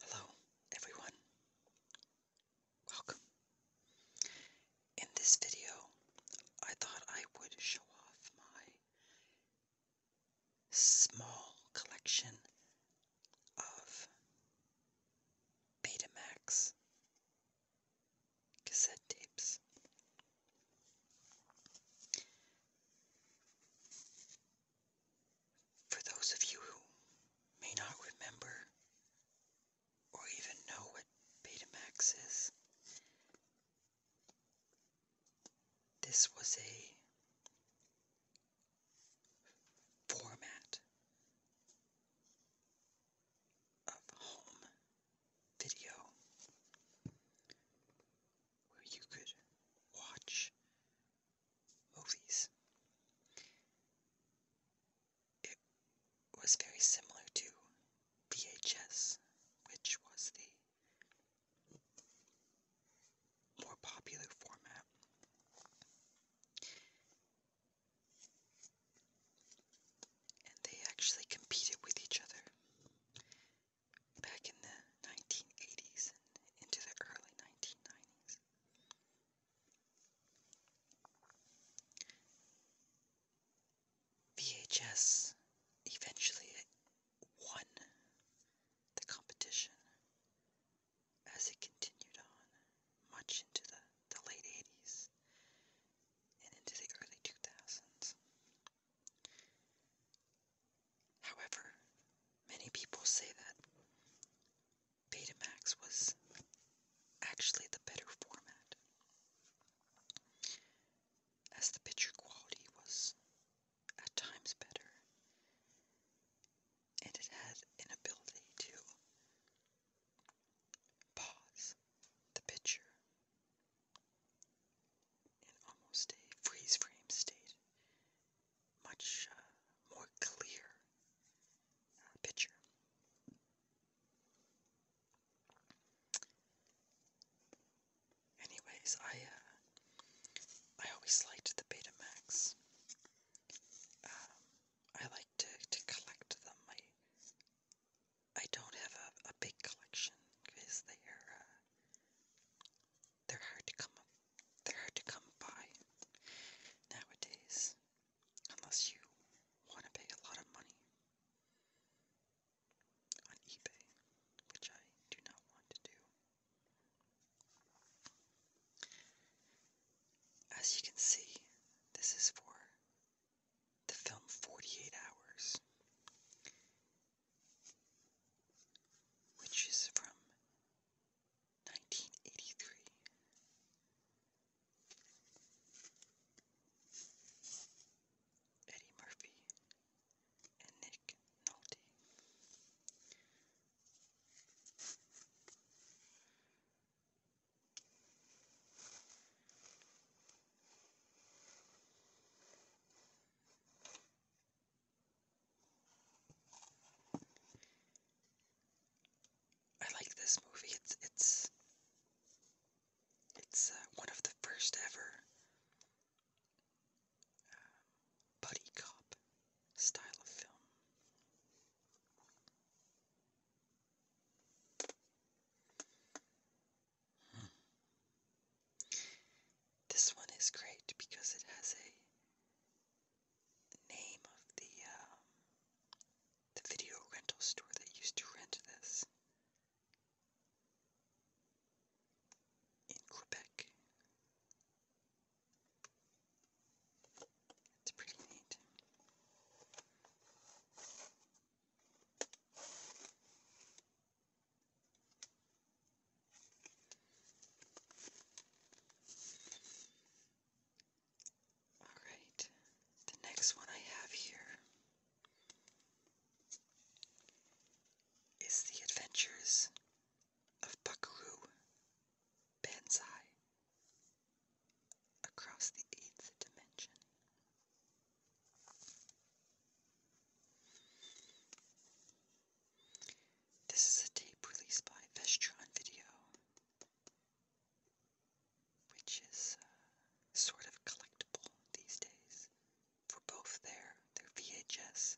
Hello, everyone. Welcome. In this video, I thought I would show off my small collection of Betamax cassette tapes. For those of you who may not remember or even know what Betamax is, this was a format of home video where you could watch movies. It was very similar to VHS, which was the more popular format. And they actually competed with each other back in the 1980s and into the early 1990s. VHS eventually won the competition as it continued on much into the, the late 80s and into the early 2000s. However, many people say that Betamax was actually the better format, as the picture quality was at times better, and it had an ability to pause the picture in almost a freeze frame state, much uh, more clear uh, picture. Anyways, I uh, I always liked the Betamax. Um, I like to, to collect them. I I don't have a, a big collection because they are uh, they're hard to come they're hard to come by nowadays unless you want to pay a lot of money on eBay, which I do not want to do. As you can see, this is for the film 48 Hours, which is from 1983. Eddie Murphy and Nick Nolte. I like this movie. It's it's it's uh, one of the first ever uh, buddy cop style of film. This one is great because it has a name of the um, the video rental store that used to rent this in Quebec. It's pretty neat. All right, the next one I have here is The Adventures of Buckaroo Banzai across the eighth dimension. This is a tape released by Vestron Video, which is uh, sort of collectible these days for both their, their VHS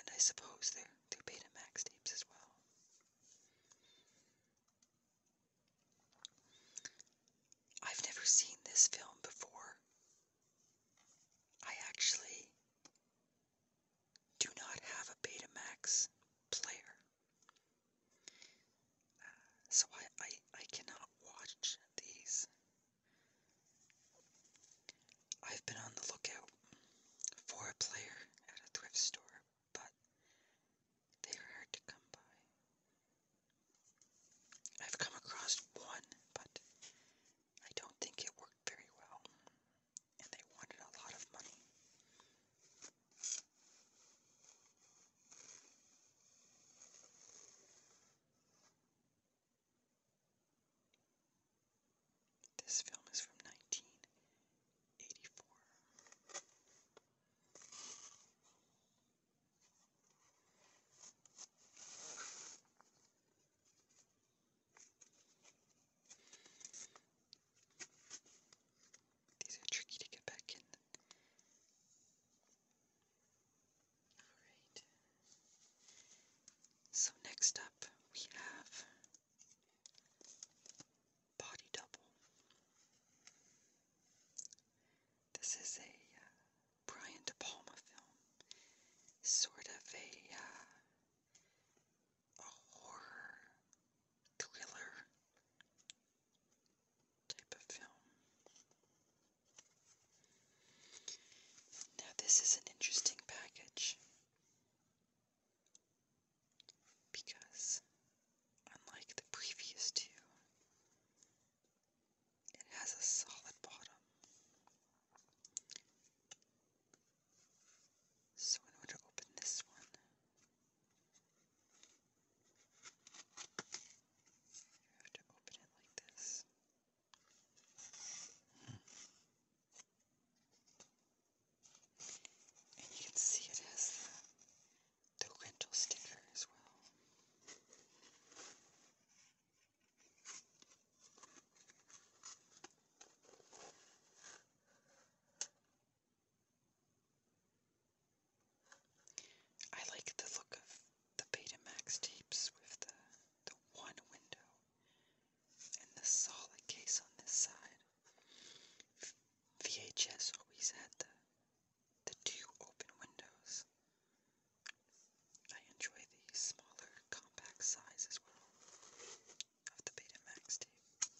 and I suppose their, their Betamax tapes as well. I've never seen this film before. I actually do not have a Betamax player. So I, I, I cannot watch these. I've been on the lookout for a player at a thrift store but they are hard to come by. I've come across one, but I don't think it worked very well, and they wanted a lot of money. This film is from 1984. These are tricky to get back in. Alright. So next up we have body double. This is a uh, Brian De Palma film, sort of a, uh, a horror thriller type of film. Now, this is an interesting package because unlike the previous two, it has a solid bottom. So, in order to open this one, you have to open it like this. And you can see it has the, rental sticker as well. I like the look of the Betamax tapes with the one window and the solid case on this side. VHS always had the the two open windows. I enjoy the smaller compact size as well of the Betamax tape.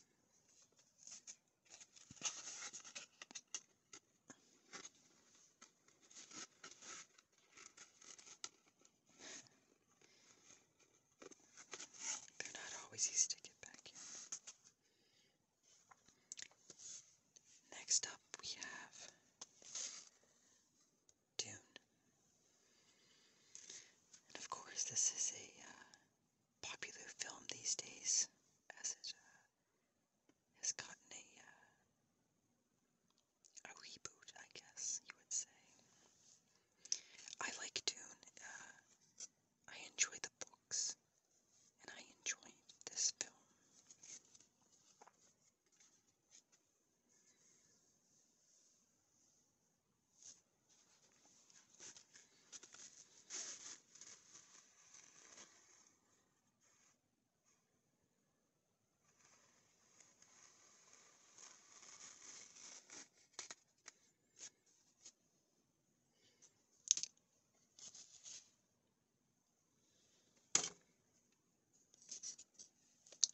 They're not always easy to get back Next up, we have Dune. And of course, this is a uh, popular film these days as it uh, has gotten a, uh, a reboot, I guess you would say. I like Dune. Uh, I enjoy the books, and I enjoy this film.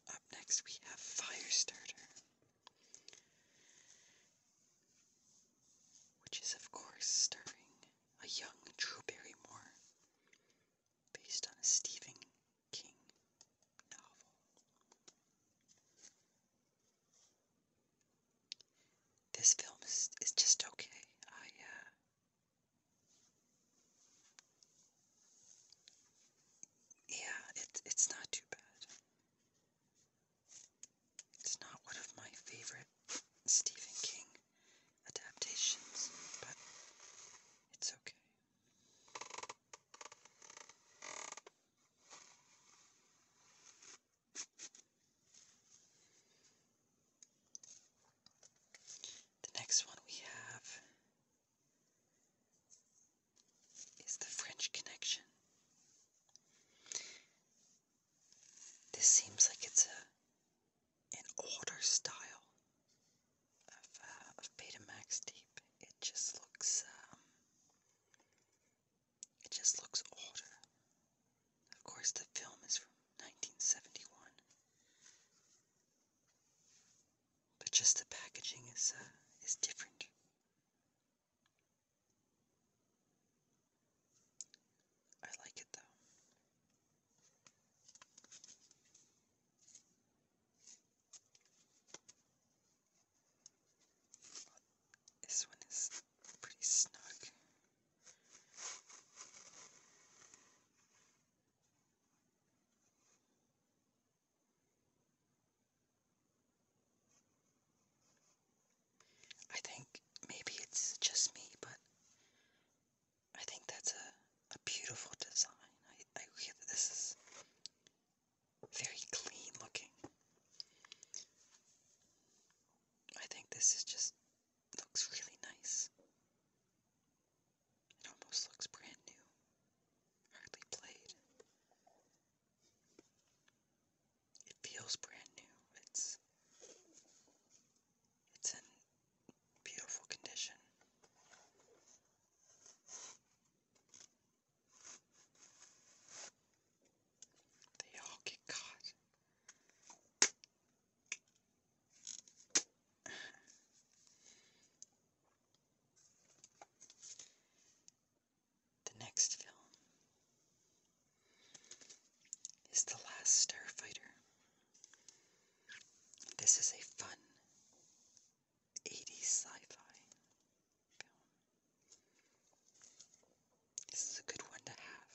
Up next, we have Firestarter, which is, of course, starring a young Drew Barrymore, based on a Stephen this film is, is just okay. I, uh, yeah, it, it's not too bad. It's not one of my favorite Stephen King adaptations, but it's okay. The next one we have is the French Connection. This seems like it's a an older style of, uh, Betamax tape it just looks um, it just looks older. Of course the film is from 1971. But just the packaging is uh, is different. I like it though. This one is pretty snug. I think maybe it's just me, but I think that's a, a beautiful design. I, I hear this very clean looking. I think this is just looks really nice. It almost looks brand new, hardly played. It feels brand new. It's it's in beautiful condition. They all get caught. The next film is The Last Starfighter. This is a fun 80s sci-fi This is a good one to have.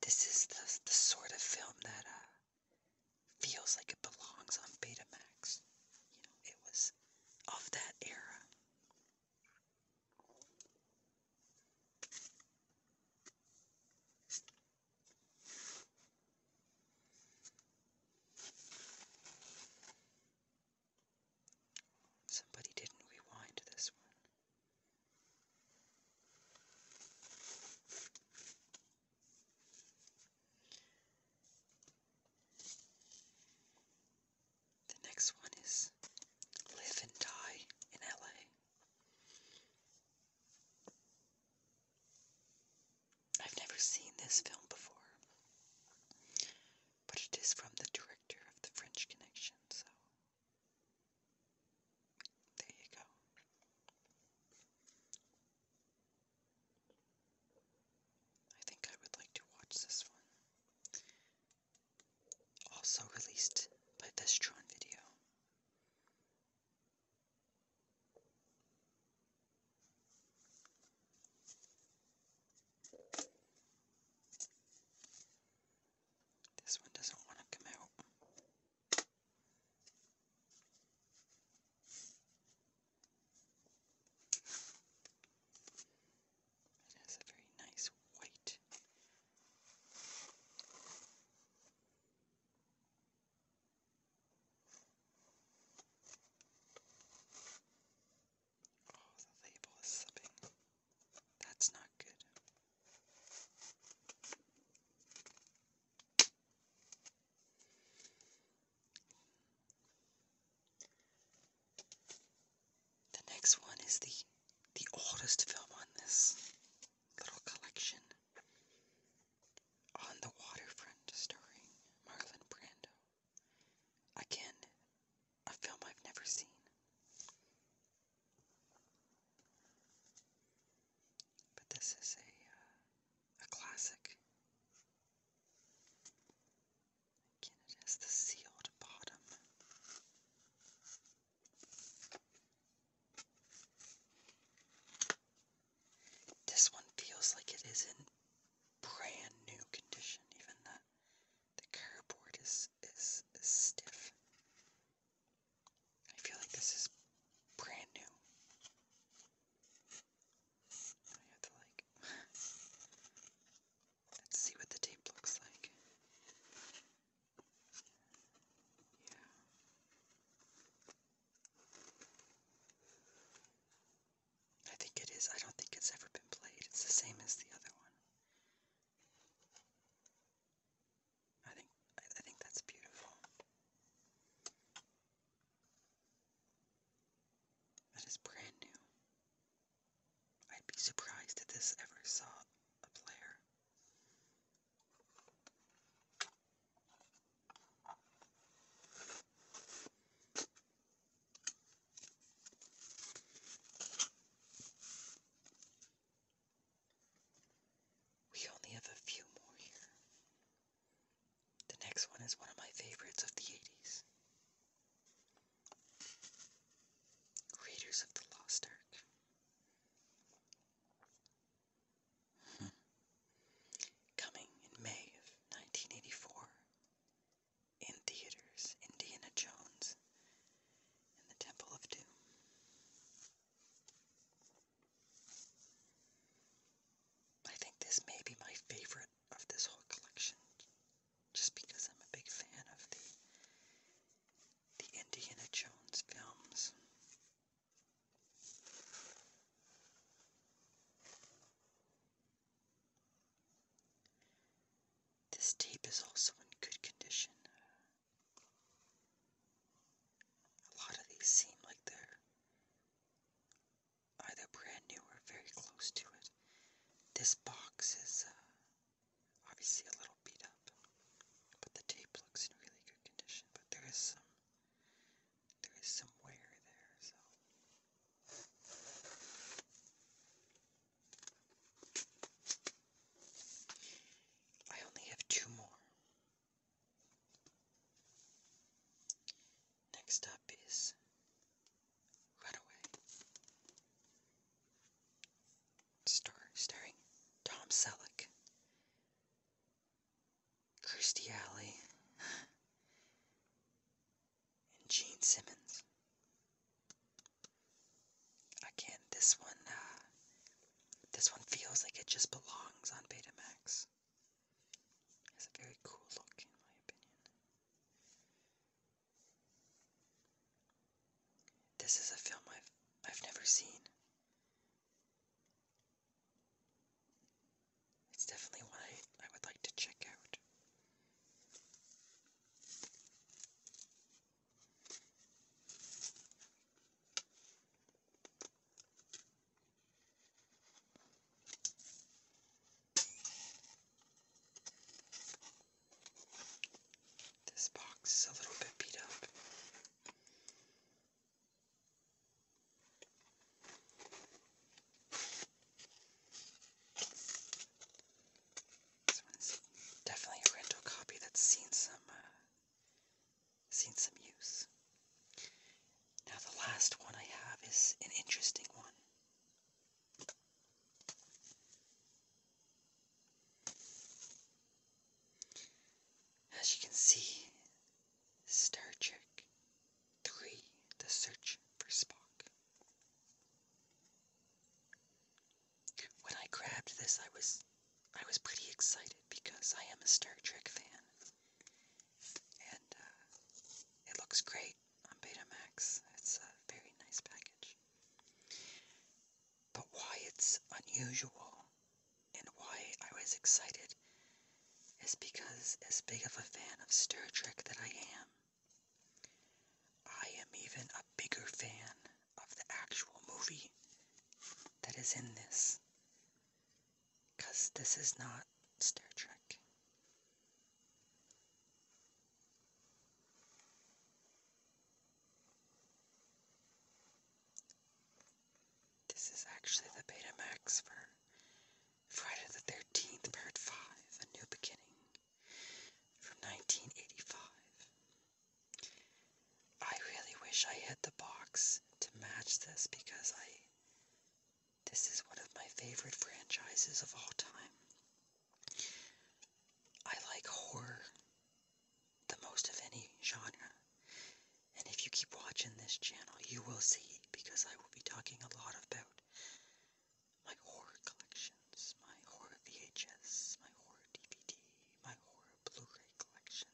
This is the, the sort of film that uh, feels like it belongs on Betamax. You know, it was of that era. Somebody didn't rewind this one. The next one is Live and Die in LA. I've never seen this film before, but it is from the director of The French Connection, so there you go. I think I would like to watch this one. Also released by Vestron Video. This one doesn't want to come out. It has a very nice white. Oh, the label is slipping. That's not good. The next one is the the oldest film on this little collection. On the Waterfront, starring Marlon Brando. Again, a film I've never seen. But this is a uh, a classic. Again, it has the sealed bottom. This one feels like it is in brand new condition, even that the cardboard is, is is stiff. I feel like this is brand new. let's see what the tape looks like. Yeah. I think it is. I don't think it's ever been played. It's the same as the other one. I think I, think that's beautiful. That is brand new. I'd be surprised if this ever saw a player. We only have a few more here. The next one is one of my favorites of the 80s. Raiders of the Lost Ark. Coming in May of 1984 in theaters, Indiana Jones and the Temple of Doom. I think this may be my favorite of this whole collection just because I'm a big fan of the the Indiana Jones films. This tape is also in good condition. A lot of these seem like they're either brand new or very close to it. This box is uh, obviously a little beat up, but the tape looks in really good condition. But there is some there is somewhere there, so. I only have two more. Next up is Runaway. Star starring Tom Selleck. Kirstie Alley, and Jean Simmons. Again, this one, uh, this one feels like it just belongs on Betamax. has a very cool look, in my opinion. This is a film I've I've never seen. It's definitely one I, I would like to check out. This box is a little bit beat up definitely a rental copy that's seen some uh, seen some use. Now the last one I have is an interesting one. As you can see, Star Trek Three The Search for Spock. When I grabbed this I was I was pretty excited because I am a Star Trek fan. And uh, it looks great on Betamax. It's a very nice package. But why it's unusual and why I was excited is because, as big of a fan of Star Trek that I am, I am even a bigger fan of the actual movie that is in this. Because this is not Star Trek. This is actually the Betamax for Friday the 13th, Part 5 A New Beginning from 1985. I really wish I had the box to match this because I. This is one of my favorite franchises of all time. I like horror the most of any genre, and if you keep watching this channel, you will see because I will be talking a lot about my horror collections, my horror VHS, my horror DVD, my horror Blu-ray collection,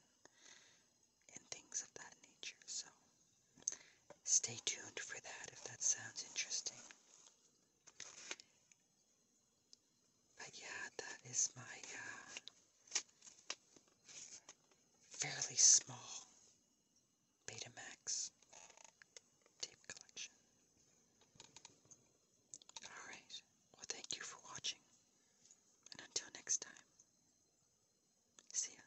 and things of that nature. So stay tuned for that if that sounds interesting. But yeah, that is my uh, fairly small Betamax tape collection. Alright, well, thank you for watching, and until next time, see ya.